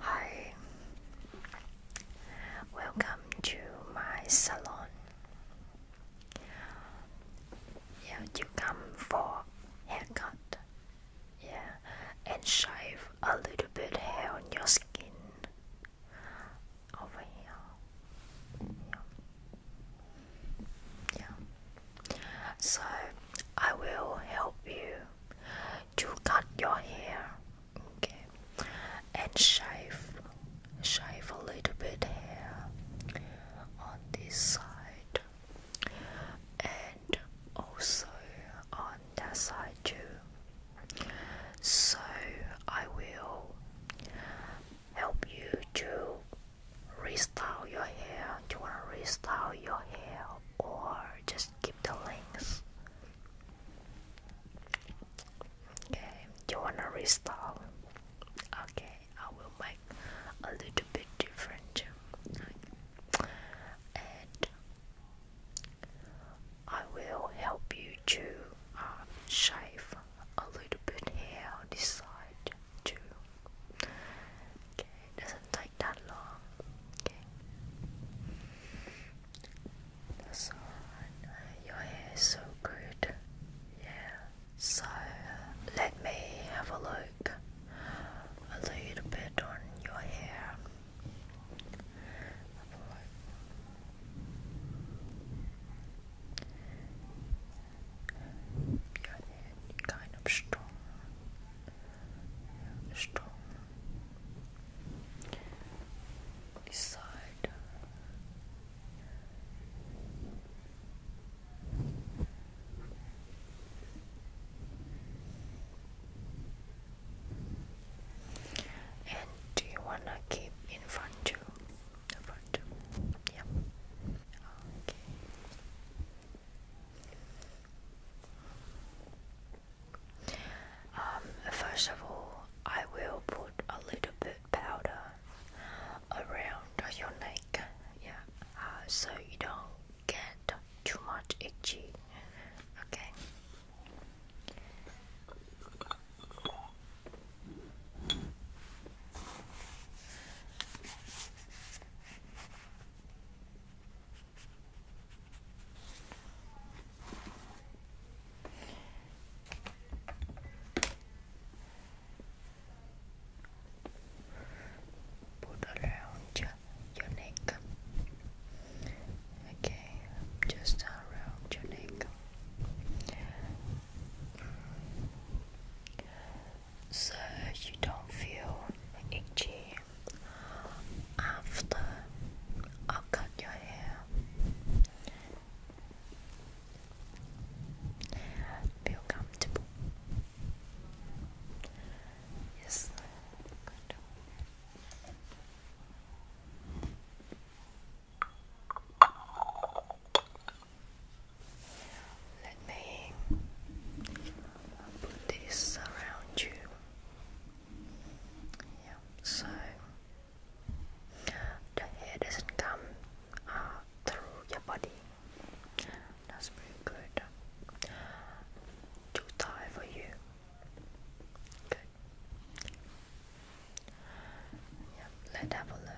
Hi, welcome to my salon. Yeah, you come for haircut. Yeah, and shave a little bit hair on your skin over here. Yeah. So I will help you to cut your hair okay and shave shave a little bit hair on this side and also on that side too so I will help you to restyle your hair do you want to restyle your hair or just keep the links. Okay, you wanna restyle? Okay, I will make a little bit different. And I will help you to uh, shave a little bit here this side too. Okay, it doesn't take that long. Okay. That's alright. Uh, your hair is so good. Yeah. So uh, let me have a look a little bit on your hair. Have a look. kind of strong. strong this side do you want to keep in front too? In front Okay. Um, first of all, I will put a little bit powder around your neck, yeah, uh, so you don't get too much itchy. Okay. Put around your, neck. Okay, just around your neck. So you don't feel itchy after I cut your hair. Feel comfortable. Yes. Good. Let me put this around you. Yeah, so the hair doesn't come uh, through your body. That's pretty good. Too tight for you. Good. Yeah, let's have a look.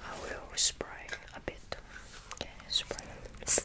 I will spray a bit. spray bit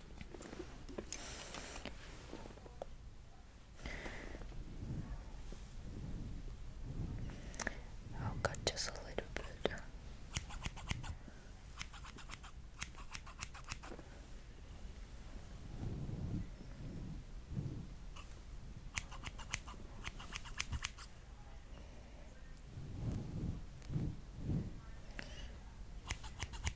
I'll cut just a little bit.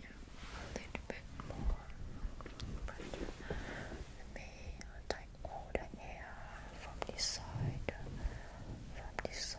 yeah, a little bit more, let me take all the air from this side, from this side.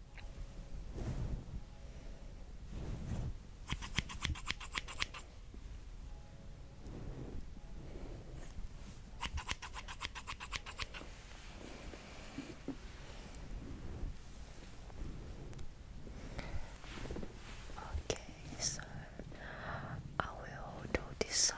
Okay, so I will do this side.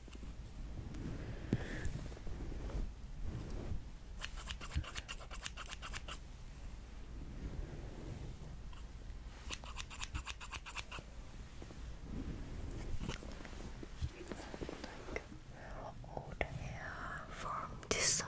Like all hair from this side.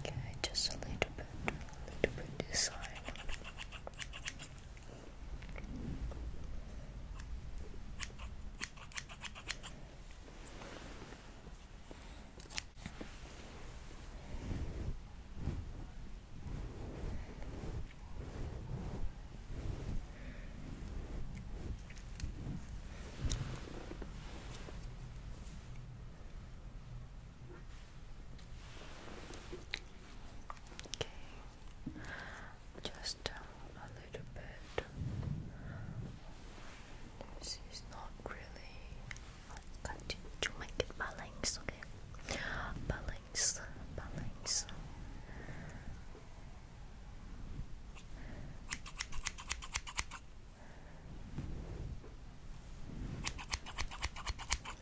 Okay, just a little bit, a little bit this side. Okay, just um, a little bit. This is not really cutting to make it balance, okay? Balance, balance.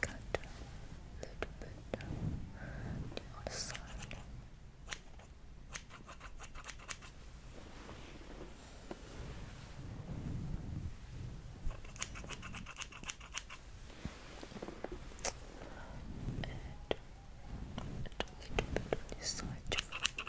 cut a little bit on the side. And a little bit on this side too.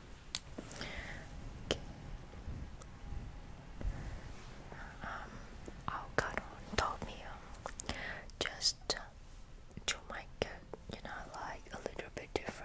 Okay. Um, avocado on top um, Just to make it, you know, like a little bit different.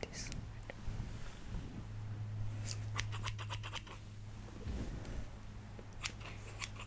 This side. Okay.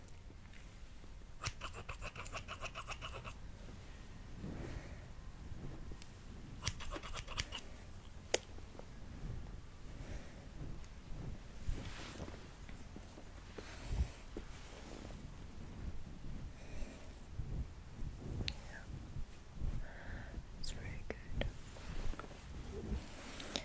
Yeah. It's very good.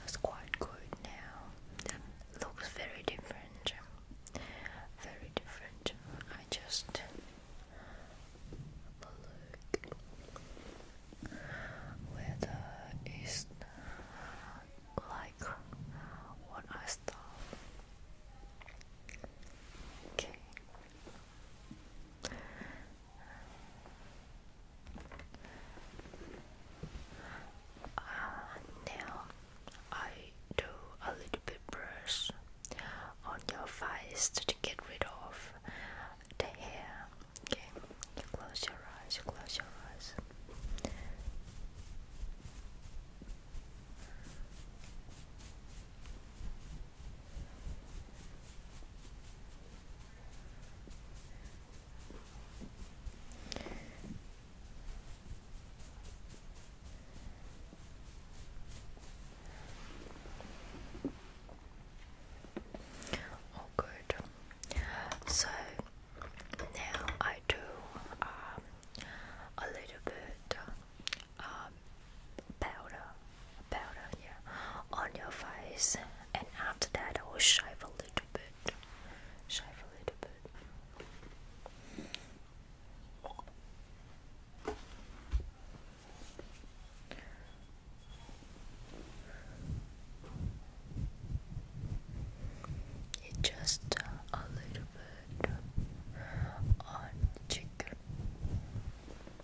That's quite good now. That looks very different. Very different. I just have a look whether it's like what I start. Okay. Uh, now I do a little bit brush on your face to get rid of the hair. Okay, close your eyes. close your eyes. Oh, good. So now I do um, a little bit um, powder powder here on your face, and after that, I will shave a little bit. Shave a little bit. just uh, a little bit on cheek.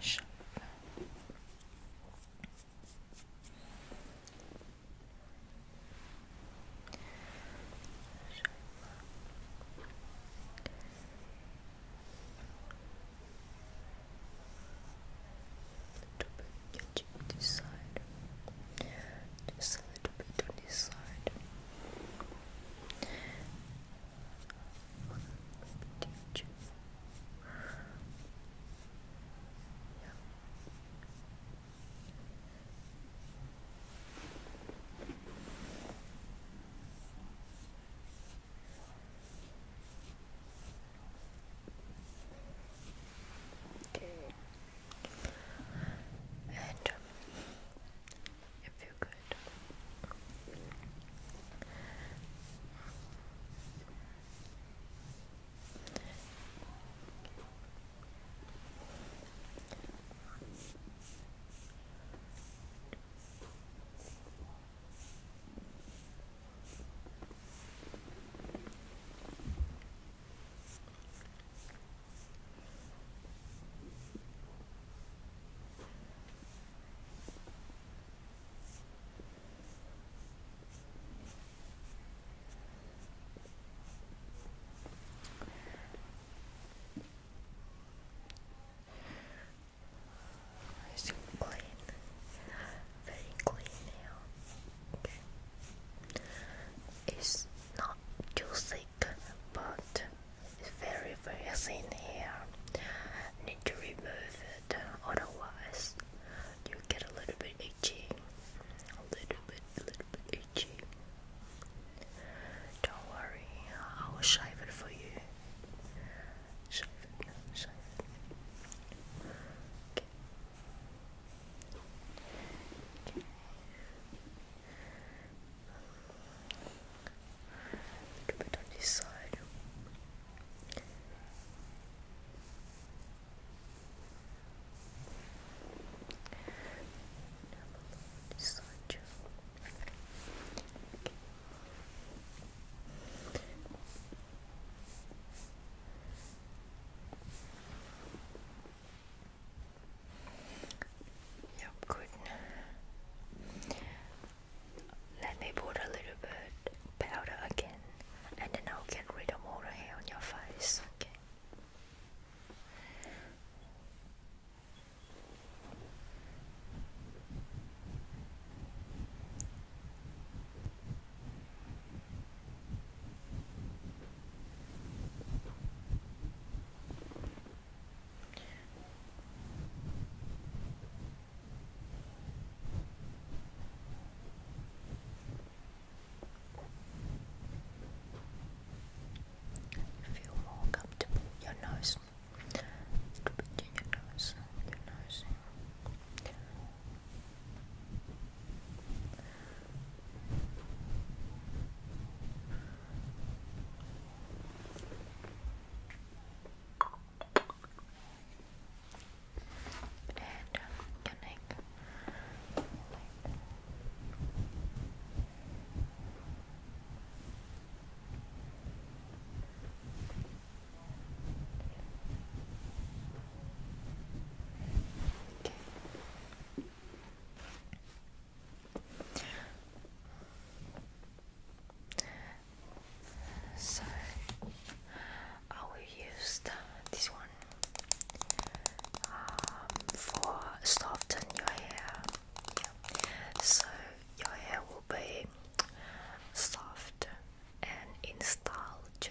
Shove. Little bit on this side, just a little bit on this side, teach you. Okay. And if you could. Is it Very clean now. It's not too but it's very very thin hair. Need to remove it, uh, otherwise you get a little bit itchy. A little bit, a little bit itchy. Don't worry, I will shave it for you. Shave it, shave it. Okay. Okay. Look a bit on this side. This side Yep, good. Let me put a little bit powder again and then I will get rid of all the hair on your face, Okay. Feel more comfortable. Your nose. Your nose. Your nose and your neck. Okay. So I will use this one um, for soften your hair. So your hair will be soft and in style too.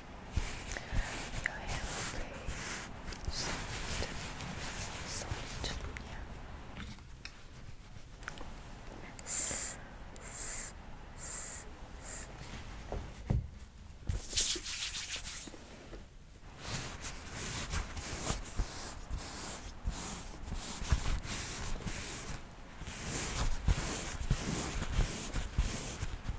Your hair will soft, soft, yeah.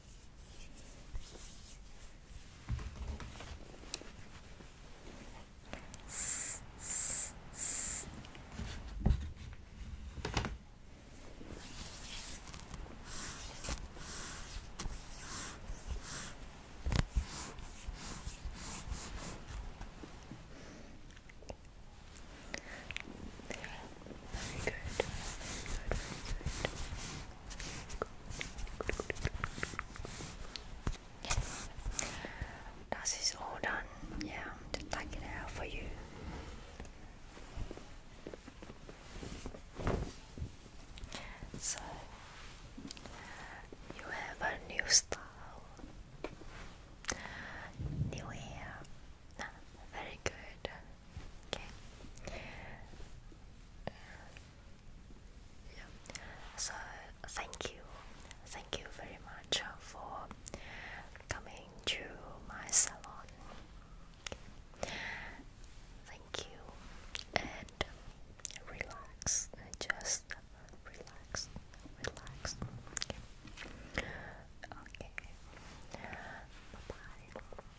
Very good. Very good. Very good. Yes. all done. Yeah, just take it out for you. So you have a new style, new hair. Very good. Okay. Yeah. So thank you, thank you very much for coming to my salon. Thank you, and relax, just relax, relax. Okay. Bye bye.